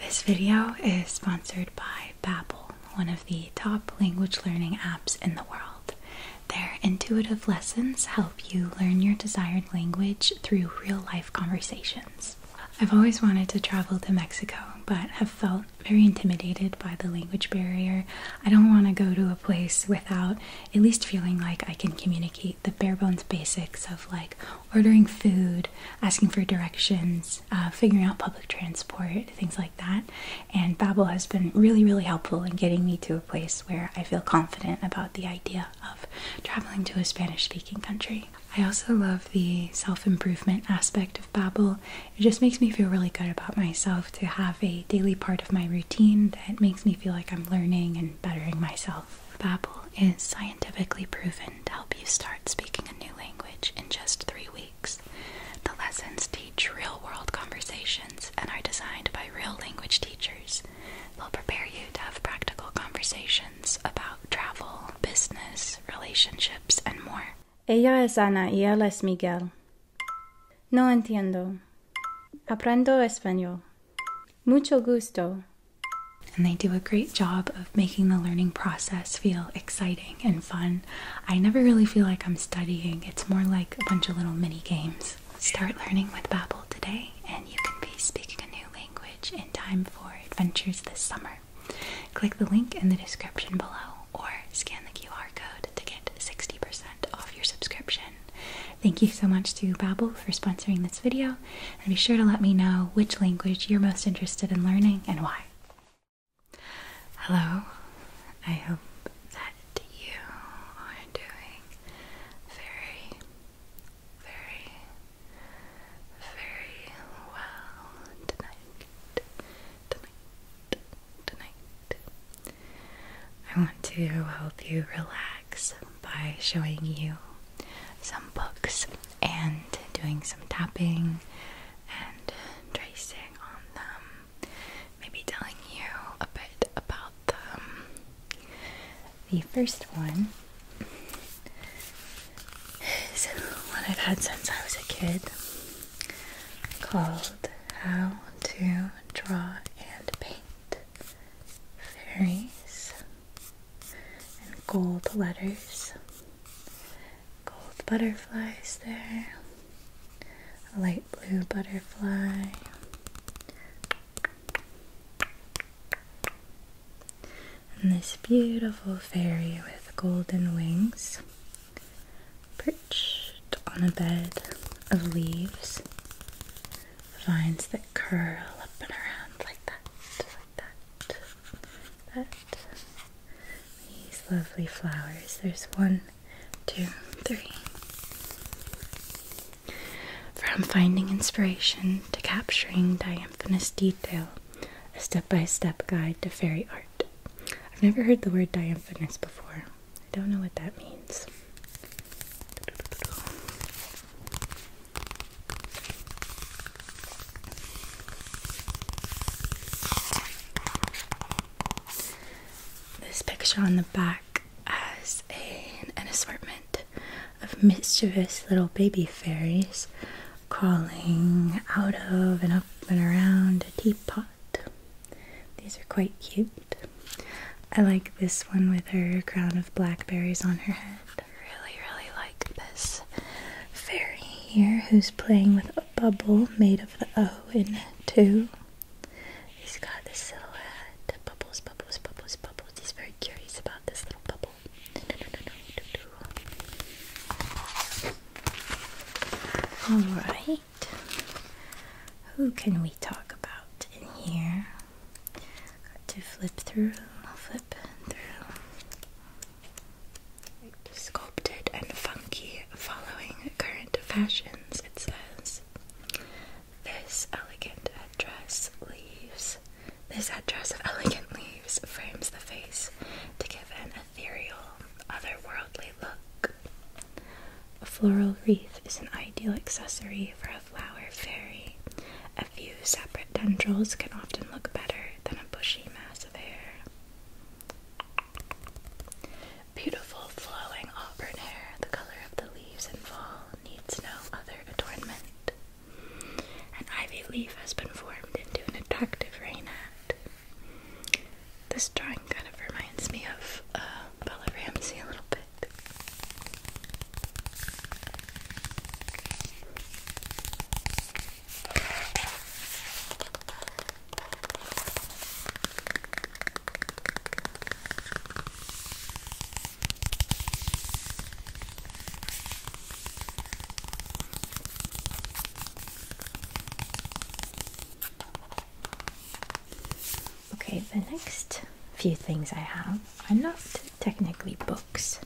This video is sponsored by Babbel, one of the top language learning apps in the world. Their intuitive lessons help you learn your desired language through real-life conversations. I've always wanted to travel to Mexico, but have felt very intimidated by the language barrier. I don't want to go to a place without at least feeling like I can communicate the bare bones basics of like ordering food, asking for directions, uh, figuring out public transport, things like that. And Babel has been really, really helpful in getting me to a place where I feel confident about the idea of traveling to a Spanish-speaking country. I also love the self-improvement aspect of Babel. It just makes me feel really good about myself to have a daily part of my routine that makes me feel like I'm learning and bettering myself. Babel is scientifically proven to help you start speaking a new language in just three weeks. The lessons teach real world conversations and are designed by real language teachers. They'll prepare you to have practical conversations about travel, business, relationships, and more. Ella es Ana y él es Miguel. No entiendo. Aprendo español. Mucho gusto. And they do a great job of making the learning process feel exciting and fun. I never really feel like I'm studying, it's more like a bunch of little mini games. Start learning with Babbel today, and you can be speaking a new language in time for adventures this summer. Click the link in the description below or scan the QR code to get 60% off your subscription. Thank you so much to Babbel for sponsoring this video and be sure to let me know which language you're most interested in learning and why. Hello, I hope that you are doing very, very, very well tonight. Tonight, tonight. I want to help you relax by showing you some books and doing some tapping and tracing on them. Maybe telling you a bit about them. The first one is one I've had since I was a kid called How to Draw and Paint Fairies and gold letters, gold butterflies there, a light blue butterfly. And this beautiful fairy with golden wings perched on a bed of leaves, vines that curl up and around like that, that, that. These lovely flowers. There's one, two, three. From finding inspiration to capturing diaphanous detail, a step by step guide to fairy art. I've never heard the word diaphanous before. I don't know what that means. This picture on the back has a, an assortment of mischievous little baby fairies crawling out of and up and around a teapot. These are quite cute. I like this one with her crown of blackberries on her head really, really like this fairy here who's playing with a bubble made of the O in it too. He's got this silhouette. Bubbles, bubbles, bubbles, bubbles. He's very curious about this little bubble. No, no, no, no, do, do. Alright. Who can we talk about in here? Got to flip through, Sculpted and funky, following current fashions, it says. This elegant headdress leaves. This headdress of elegant leaves frames the face to give an ethereal, otherworldly look. A floral wreath is an ideal accessory for a flower fairy, a few separate tendrils can often look better than a bushy mass of hair. Beautiful flowing auburn hair, the color of the leaves in fall, needs no other adornment. An ivy leaf has been formed into an attractive rainet. This drawing kind of reminds me of uh, Bella Ramsey a little bit. Okay, the next few things I have are not technically books,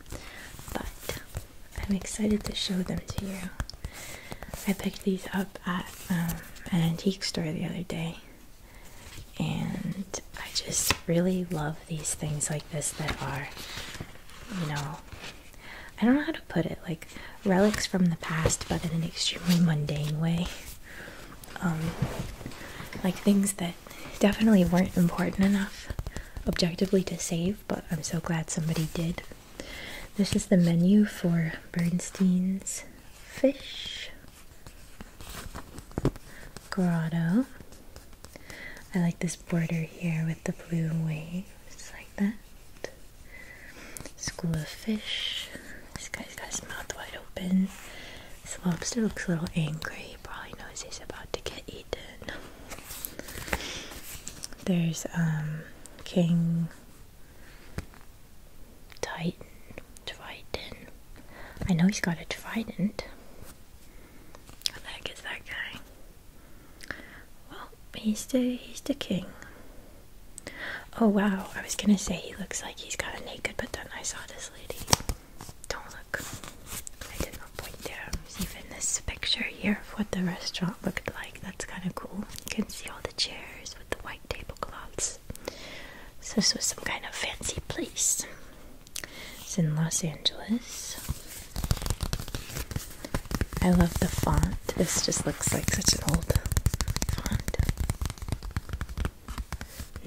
but I'm excited to show them to you. I picked these up at um, an antique store the other day, and I just really love these things like this that are, you know, I don't know how to put it, like relics from the past, but in an extremely mundane way. Um, like things that definitely weren't important enough objectively to save, but I'm so glad somebody did. This is the menu for Bernstein's Fish Grotto. I like this border here with the blue waves, like that. School of Fish. This guy's got his mouth wide open. This lobster looks a little angry, probably knows he's about to get eaten. There's um, King Titan, Triton. I know he's got a trident. What the heck is that guy? Well, he's the he's the king. Oh wow, I was gonna say he looks like he's got a naked, but then I saw this lady. Don't look. There's even this picture here of what the restaurant looked like. That's kind of cool. You can see all the chairs with the white tablecloths. So this was some kind of fancy place. It's in Los Angeles. I love the font. This just looks like such an old font.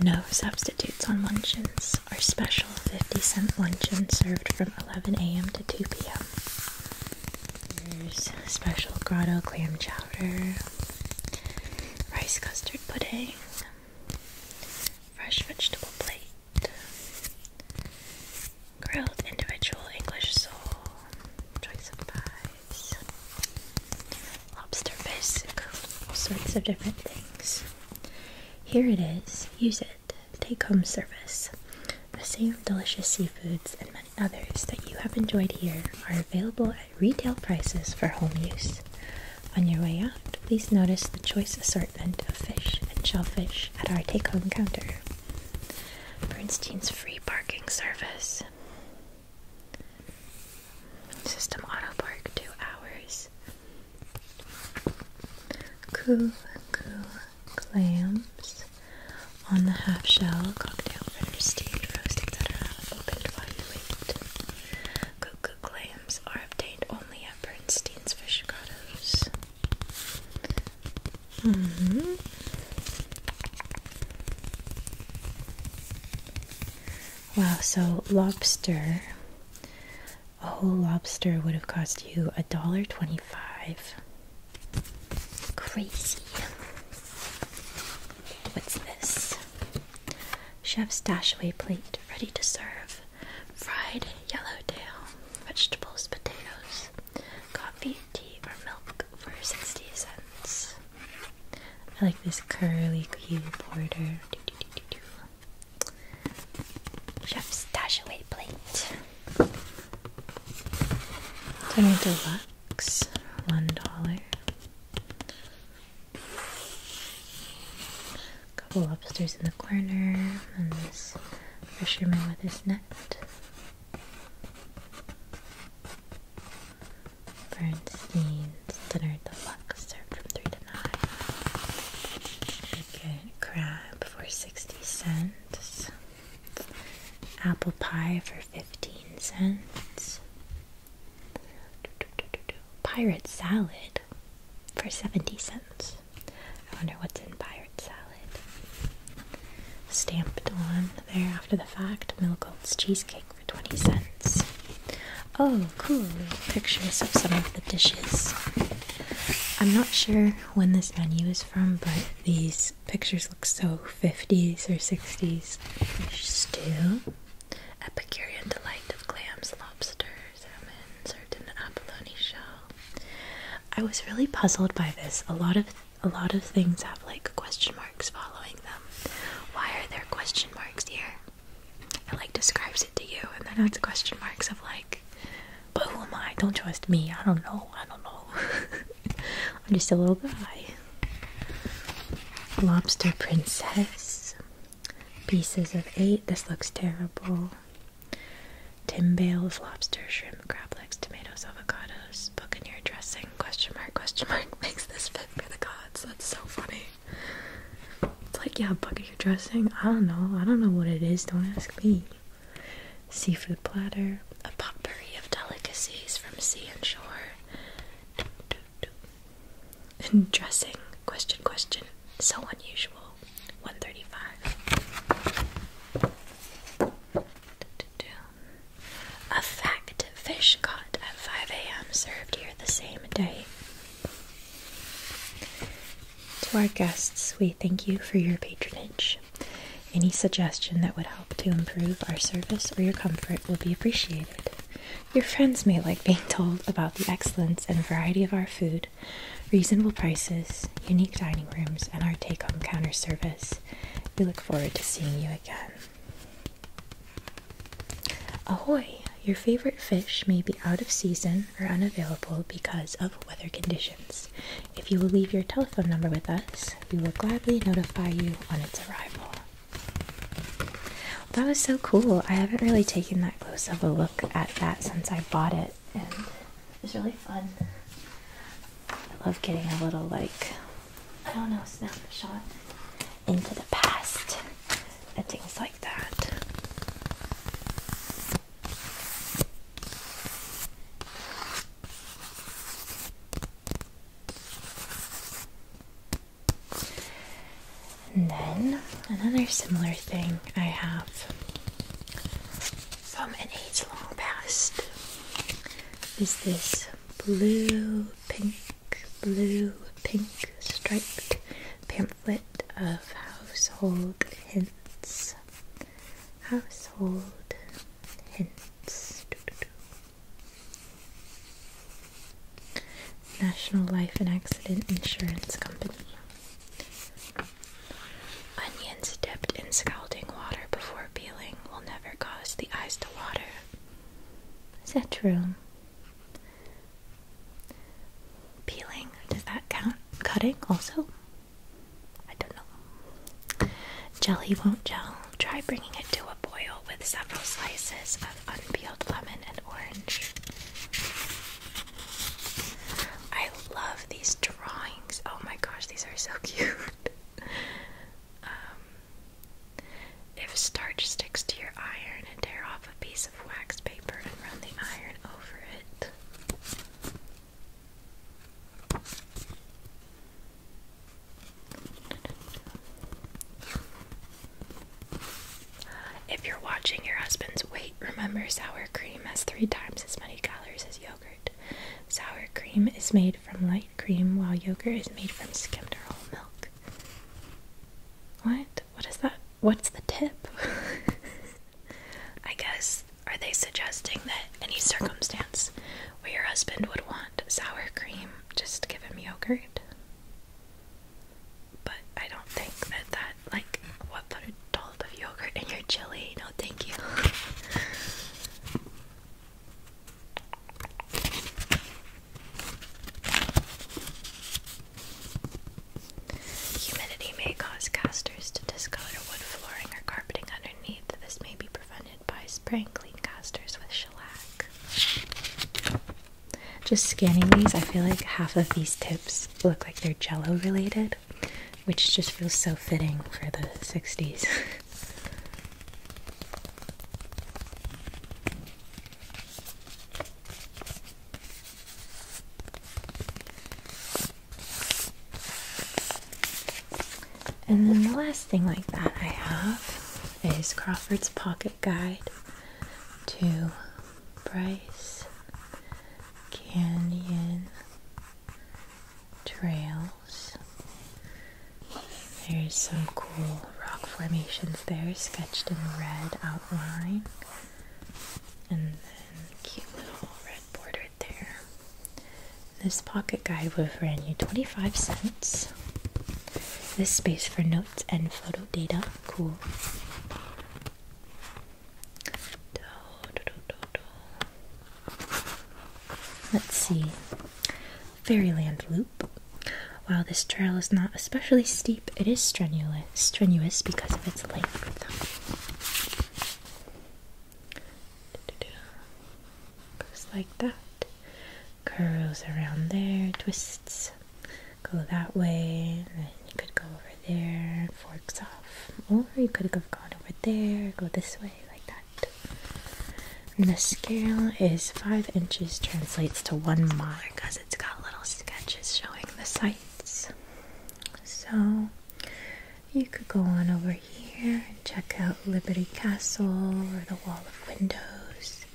No substitutes on munchins. Our special 50 cent luncheon served from 11 a.m. to 2 p.m. There's special grotto clam chowder, rice custard pudding, fresh vegetable plate, grilled individual English sole, choice of pies, lobster bisque, all sorts of different things. Here it is. Use it. Take home service. The same delicious seafoods and many others that you have enjoyed here are available at retail prices for home use. On your way out, please notice the choice assortment of fish and shellfish at our take home counter. Bernstein's free parking service. System auto park two hours. Cool clams on the half shell, cocktail fritters, steamed, roast, etc. Opened while you wait. Cool clams are obtained only at Bernstein's Fish Grottos. Mm-hmm. Wow, so lobster a whole lobster would have cost you a dollar twenty-five. Crazy. What's this? Chef's Dashaway plate, ready to serve. Fried yellowtail, vegetables, potatoes, coffee, tea, or milk for 60 cents. I like this curly, cute border. Chef's dashaway plate. Tiny deluxe, one dollar. Couple lobsters in the corner, and this fisherman with his net. Bernstein's dinner deluxe served from three to you crab for 60 cents, apple pie for 15 cents, pirate salad for 70 cents. I wonder what's in pirate salad. Stamped on there after the fact, Mill cheesecake for 20 cents. Oh, cool. Pictures of some of the dishes. I'm not sure when this menu is from, but these pictures look so 50s or 60s. Fish stew, Epicurean delight of clams, lobster, salmon, sardine, abalone shell. I was really puzzled by this. A lot of a lot of things have like question marks following them. Why are there question marks here? and like describes it to you, and then adds question marks of like, but who am I? Don't trust me. I don't know. I don't know. I'm just a little guy. Lobster Princess. Pieces of eight. This looks terrible. Tim Bale of lobster, shrimp, crab legs, tomatoes, avocados, buccaneer dressing, question mark, question mark, makes this fit for the gods. That's so funny. It's like, yeah, bucket your dressing. I don't know. I don't know what it is. Don't ask me. Seafood platter. A potpourri of delicacies from sea and shore. And dressing. Question, question. So unusual. 135. A fact fish caught at 5 a.m. served here the same day. To our guests, we thank you for your patronage. Any suggestion that would help to improve our service or your comfort will be appreciated. Your friends may like being told about the excellence and variety of our food, reasonable prices, unique dining rooms, and our take home counter service. We look forward to seeing you again. Ahoy! Your favorite fish may be out of season or unavailable because of weather conditions. If you will leave your telephone number with us, we will gladly notify you on its arrival. That was so cool. I haven't really taken that close of a look at that since I bought it, and it's really fun. I love getting a little, like, I don't know, snapshot into the past and things like that. And then another similar thing I have from an age long past is this blue pink blue, pink striped pamphlet of household hints. Household hints. National Life and Accident Insurance Company. Onions dipped in scalding water before peeling will never cause the eyes to water. Is that true? Peeling, does that count? Cutting also? I don't know. Jelly won't gel. Try bringing it to a boil with several slices of unpeeled lemon and orange. I love these drawings. Oh my gosh, these are so cute. Um, if starch sticks to your iron tear off a piece of wax paper and run the iron over it. If you're watching your husband's weight, remember sour cream has three times as many calories as yogurt. Sour cream is made from light cream, while yogurt is made from skimmed or whole milk. What? what is that? What's the tip? I guess are they suggesting that any circumstance where your husband would want sour cream, just give him yogurt? But I don't think that that like what put a dollop of yogurt in your chili? No, thank you. Humidity may cause casters to discolor wood flooring or carpeting underneath. This may be prevented by spraying clean casters with shellac. Just scanning these, I feel like half of these tips look like they're jello related, which just feels so fitting for the 60s. And then the last thing like that I have is Crawford's Pocket Guide to Bryce Canyon Trails. There's some cool rock formations there sketched in red outline. And then cute little red bordered there. This pocket guide would have ran you 25 cents. This space for notes and photo data. Cool. Let's see. Fairyland loop. While this trail is not especially steep, it is strenuous, strenuous because of its length. Goes like that, curls around there, twists, go that way, then you could go over there, forks off, or you could have gone over there, go this way, like that. the scale is five inches, translates to one mile it's got little sketches showing the sights, So you could go on over here and check out Liberty Castle or the Wall of Windows.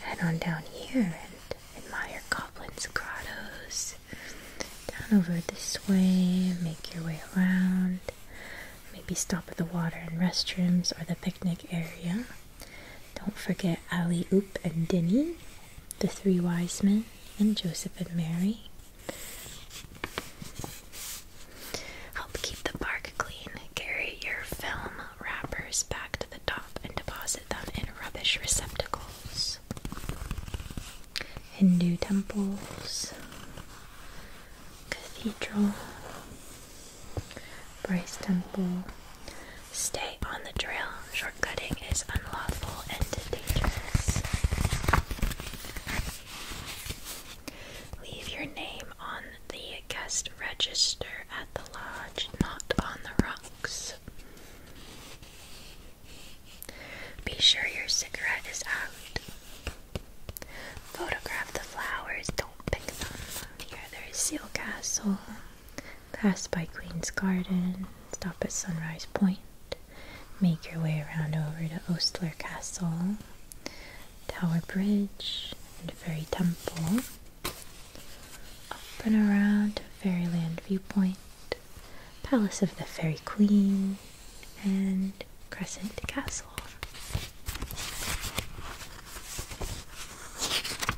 Head on down here and admire Goblin's Grottoes. Down over this way, make your way around. Maybe stop at the water and restrooms or the picnic area. Don't forget Ali, Oop, and Dinny, the three wise men, and Joseph and Mary. Help keep the park clean. Carry your film wrappers back to the top and deposit them in rubbish receptacles. Hindu temples, cathedral, Brace Temple. Stay on the trail. Shortcutting is unlawful and dangerous. Leave your name on the guest register at the lodge, not on the rocks. Be sure your cigarette is out. Photograph the flowers, don't pick them. Here there's Seal Castle. Pass by Queen's Garden, stop at Sunrise Point, make your way around over to Ostler Castle, Tower Bridge, and Fairy Temple. Up and around to Fairyland Viewpoint, Palace of the Fairy Queen, and Crescent Castle.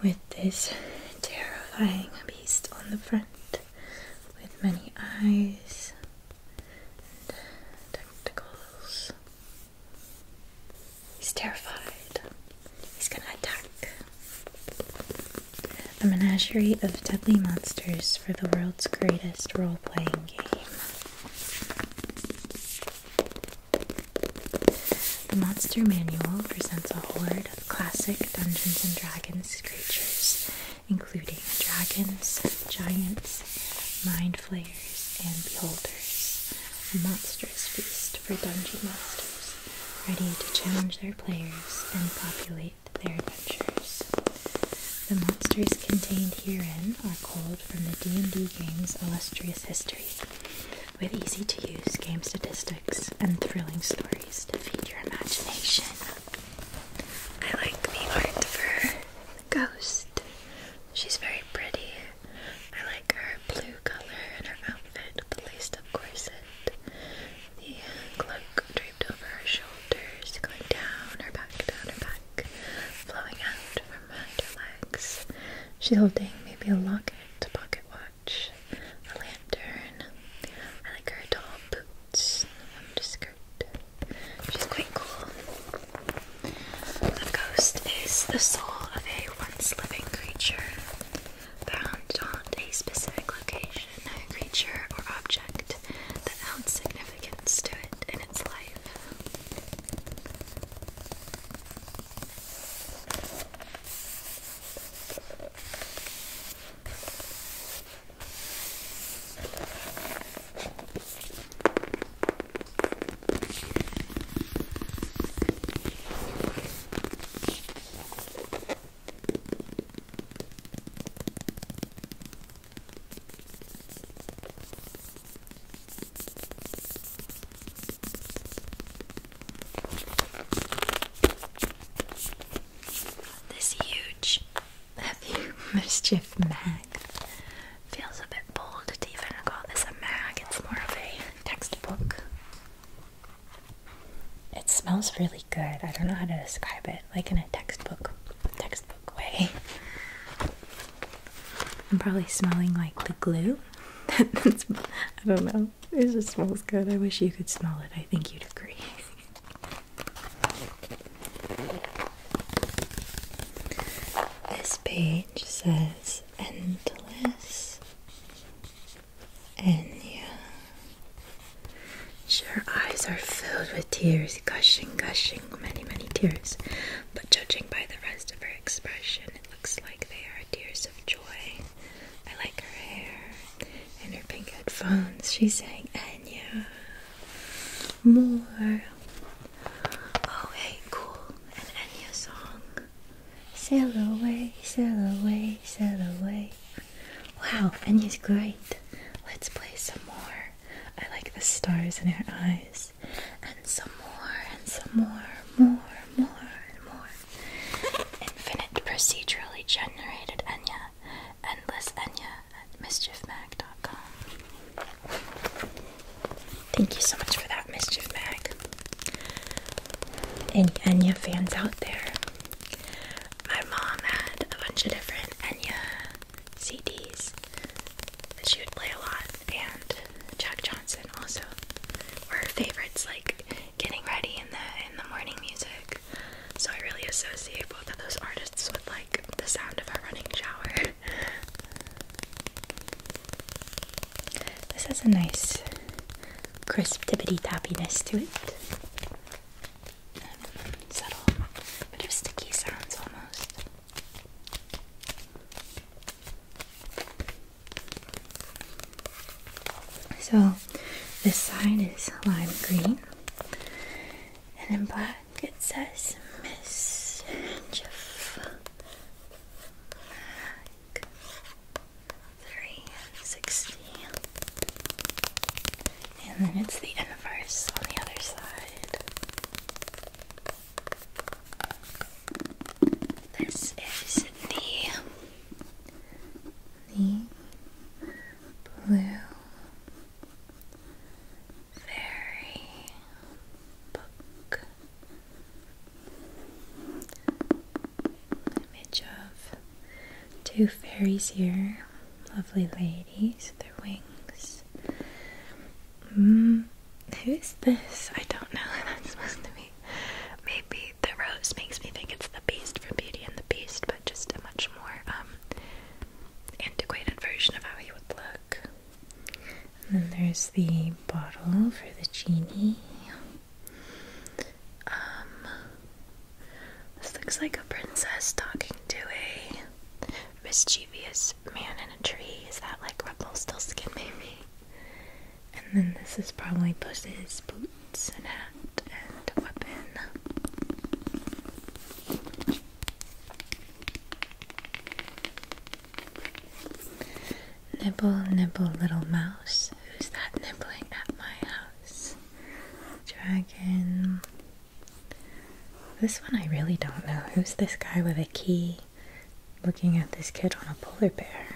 With this terrifying beast on the front, with many eyes uh, tentacles. He's terrified. He's gonna attack. A menagerie of deadly monsters for the world's greatest role playing game. The Monster Manual presents a horde of classic Dungeons and Dragons creatures, including dragons, giants, mind flayers, and beholders. A monstrous feast for dungeon masters, ready to challenge their players and populate their adventures. The monsters contained herein are culled from the D&D game's illustrious history, with easy-to-use game statistics and thrilling stories to feed your imagination. I like the Ghost. She's very pretty. I like her blue color and her outfit, the laced up corset. The cloak draped over her shoulders, going down her back, down her back, flowing out from her legs. She's holding maybe a locket, pocket watch, a lantern. I like her tall boots, a skirt. She's quite cool. The ghost is the soul of a once living creature bound on a specific location, a creature, or object that held significance to it in its life. This huge, heavy mischief mag feels a bit bold to even call this a mag. It's more of a textbook. It smells really good. I don't know how to describe it, like in a textbook, textbook way. I'm probably smelling like the glue. I don't know. It just smells good. I wish you could smell it. I think you'd agree. This page says endless and yeah, sure, eyes are filled with tears, gushing, gushing, many, many tears. But judging by the rest of her expression, it looks like they are tears of joy. I like her hair and her pink headphones. She's saying, Enya, more. Oh, hey, cool. An Enya song. Sail away, sail away, sail away. Wow, Finny's great. Let's play some more. I like the stars in her eyes. And some more, and some more, more, more, and more. Infinite procedurally generated Enya. Endless Enya at mischiefmag.com. Thank you so much for that, Mischief Mag. Any Enya fans out there, my mom had a bunch of different Enya CDs she would play a lot, and Jack Johnson also were her favorites, like getting ready in the in the morning music. So I really associate both of those artists with like the sound of a running shower. This is a nice crisp tippity tappiness to it. And um, subtle bit of sticky sounds almost. So this sign is lime green, and in black it says Miss Jeff. 360. And then it's the inverse on the other side. This is the the blue fairy book image of two fairies here. Lovely ladies, their wings. Mm, who's this? I don't know who that's supposed to be. Maybe the rose makes me think it's the Beast from Beauty and the Beast, but just a much more um, antiquated version of how he would look. And then there's the bottle for the genie. Um, this looks like a princess talking to a mischievous man in a tree. Is that like Skin, maybe? And then this is probably Puss's boots and hat and weapon. Nibble, nibble, little mouse. Who's that nibbling at my house? Dragon. This one I really don't know. Who's this guy with a key looking at this kid on a polar bear?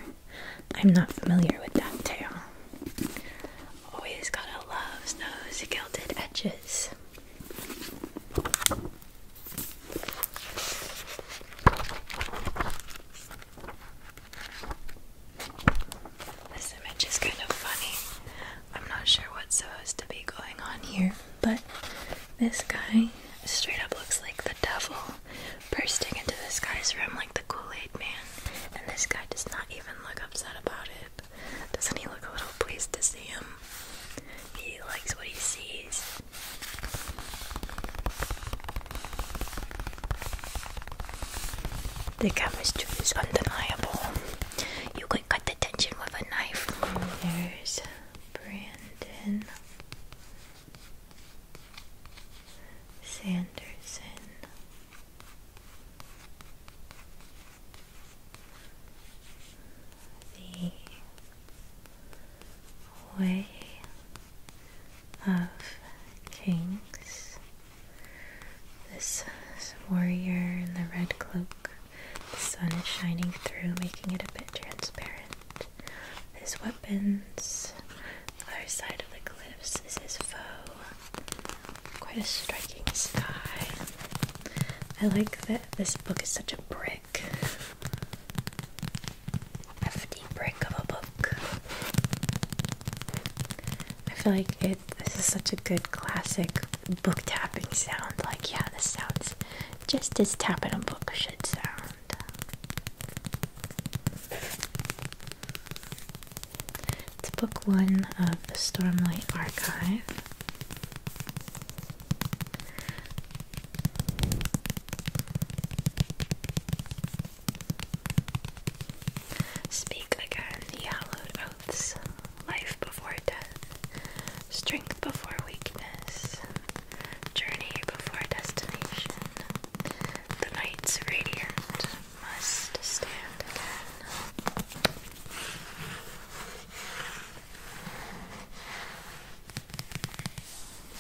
I'm not familiar with that tale. Always gotta love those gilded edges. This image is kind of funny. I'm not sure what's supposed to be going on here, but this guy straight up looks like the devil bursting into the sky's room like the Kool Aid man, and this guy does not even look upset about it. Doesn't he look a little pleased to see him? He likes what he sees. The chemistry is undeniable. You could cut the tension with a knife. There's Brandon Sanderson. The way of kings. This, warrior in the red cloak, the sun is shining through, making it a bit transparent. His weapons, the other side of the cliffs is his foe. Quite a striking sky. I like that this book is such a brick hefty brick of a book. I feel like it. This is such a good classic book tapping sound. Like, yeah, this sounds just as tapping a book should sound. It's book one of the Stormlight Archive. Speak again the hallowed oaths, life before death, strength before weakness, journey before destination. The night's radiant must stand again.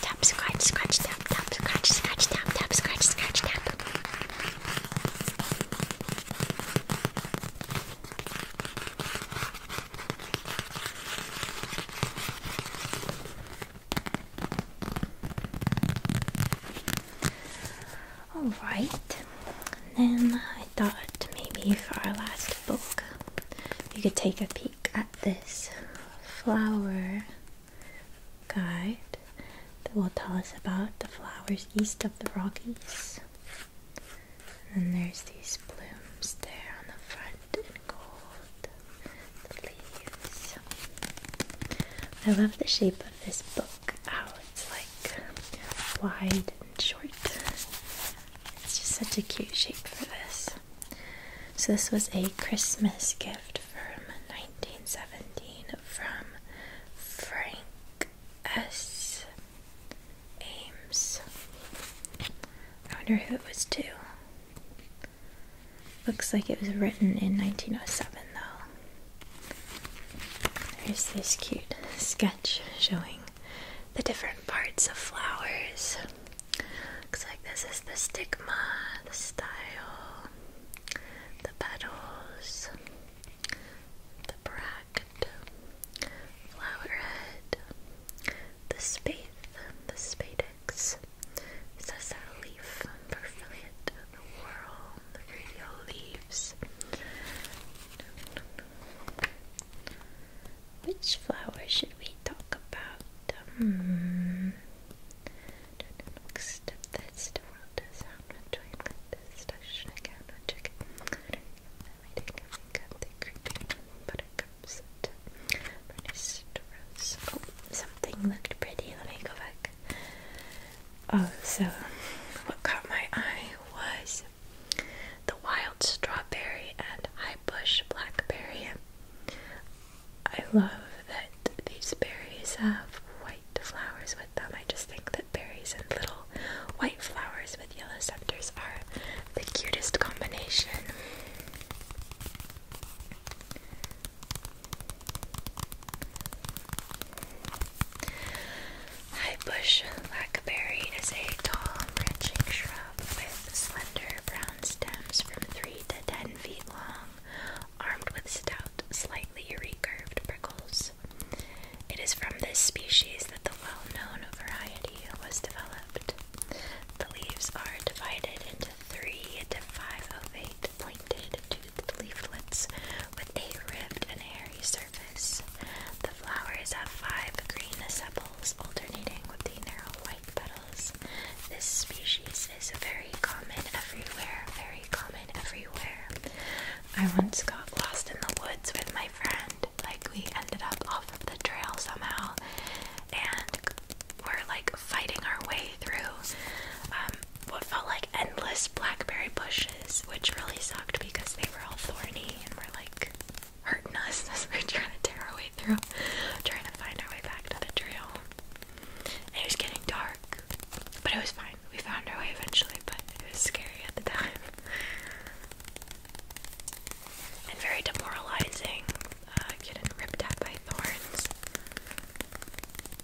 Tap, scratch, scratch, tap, tap, scratch, scratch, tap, tap, scratch, scratch, tap. Alright, then I thought maybe for our last book we could take a peek at this flower guide that will tell us about the flowers east of the Rockies. And there's these blooms there on the front in gold, the leaves. I love the shape of this book, it's like wide and short. It's just such a cute shape for this. So this was a Christmas gift from 1917 from Frank S. Ames. I wonder who it was to. Looks like it was written in 1907 though. There's this cute sketch showing the different parts of flowers. Looks like this is the stigma, the style, the petals, the bract, flower head, the spathe, the spadix. It leaf for fillet, whirl the radio leaves. Which flower should we talk about? Hmm. Step that still does sound with join with this touch again with chicken. I think I think of the creeping buttercups and burnished rose. Oh, something looked pretty. Let me go back. Oh, so what caught my eye was the wild strawberry and high bush blackberry. I love that these berries have white flowers with them. I just think that berries and little white flowers with yellow centers are the cutest combination. High bush blackberry is a tall, branching shrub with slender brown stems from 3 to 10 feet long, armed with stout, slightly recurved prickles. It is from this species that the well known variety was developed. The leaves are divided into three to five ovate, pointed to leaflets with a ribbed and hairy surface. The flowers have five green sepals alternating with the narrow white petals. This species is very common everywhere, very common everywhere. I once got lost in the woods with my friend. Like, we ended up off of the trail somehow, and we're like fighting our way through um, what felt like endless blackberry bushes, which really sucked because they were all thorny and were like hurting us as we were trying to tear our way through, trying to find our way back to the trail. And it was getting dark, but it was fine. We found our way eventually, but it was scary at the time. And very demoralizing, uh, getting ripped at by thorns.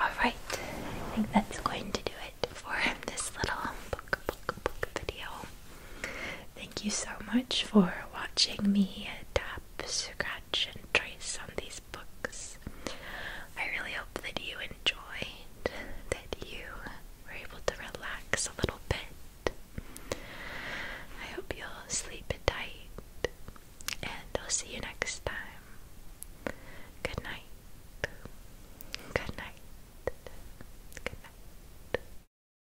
All right, I think that's going to do it for this little book book book video. Thank you so much for watching me tap, scratch, and trace on these books. I really hope that you enjoyed, that you were able to relax a little bit. I hope you'll sleep tight, and I'll see you next time. Good night. Good night. Good night.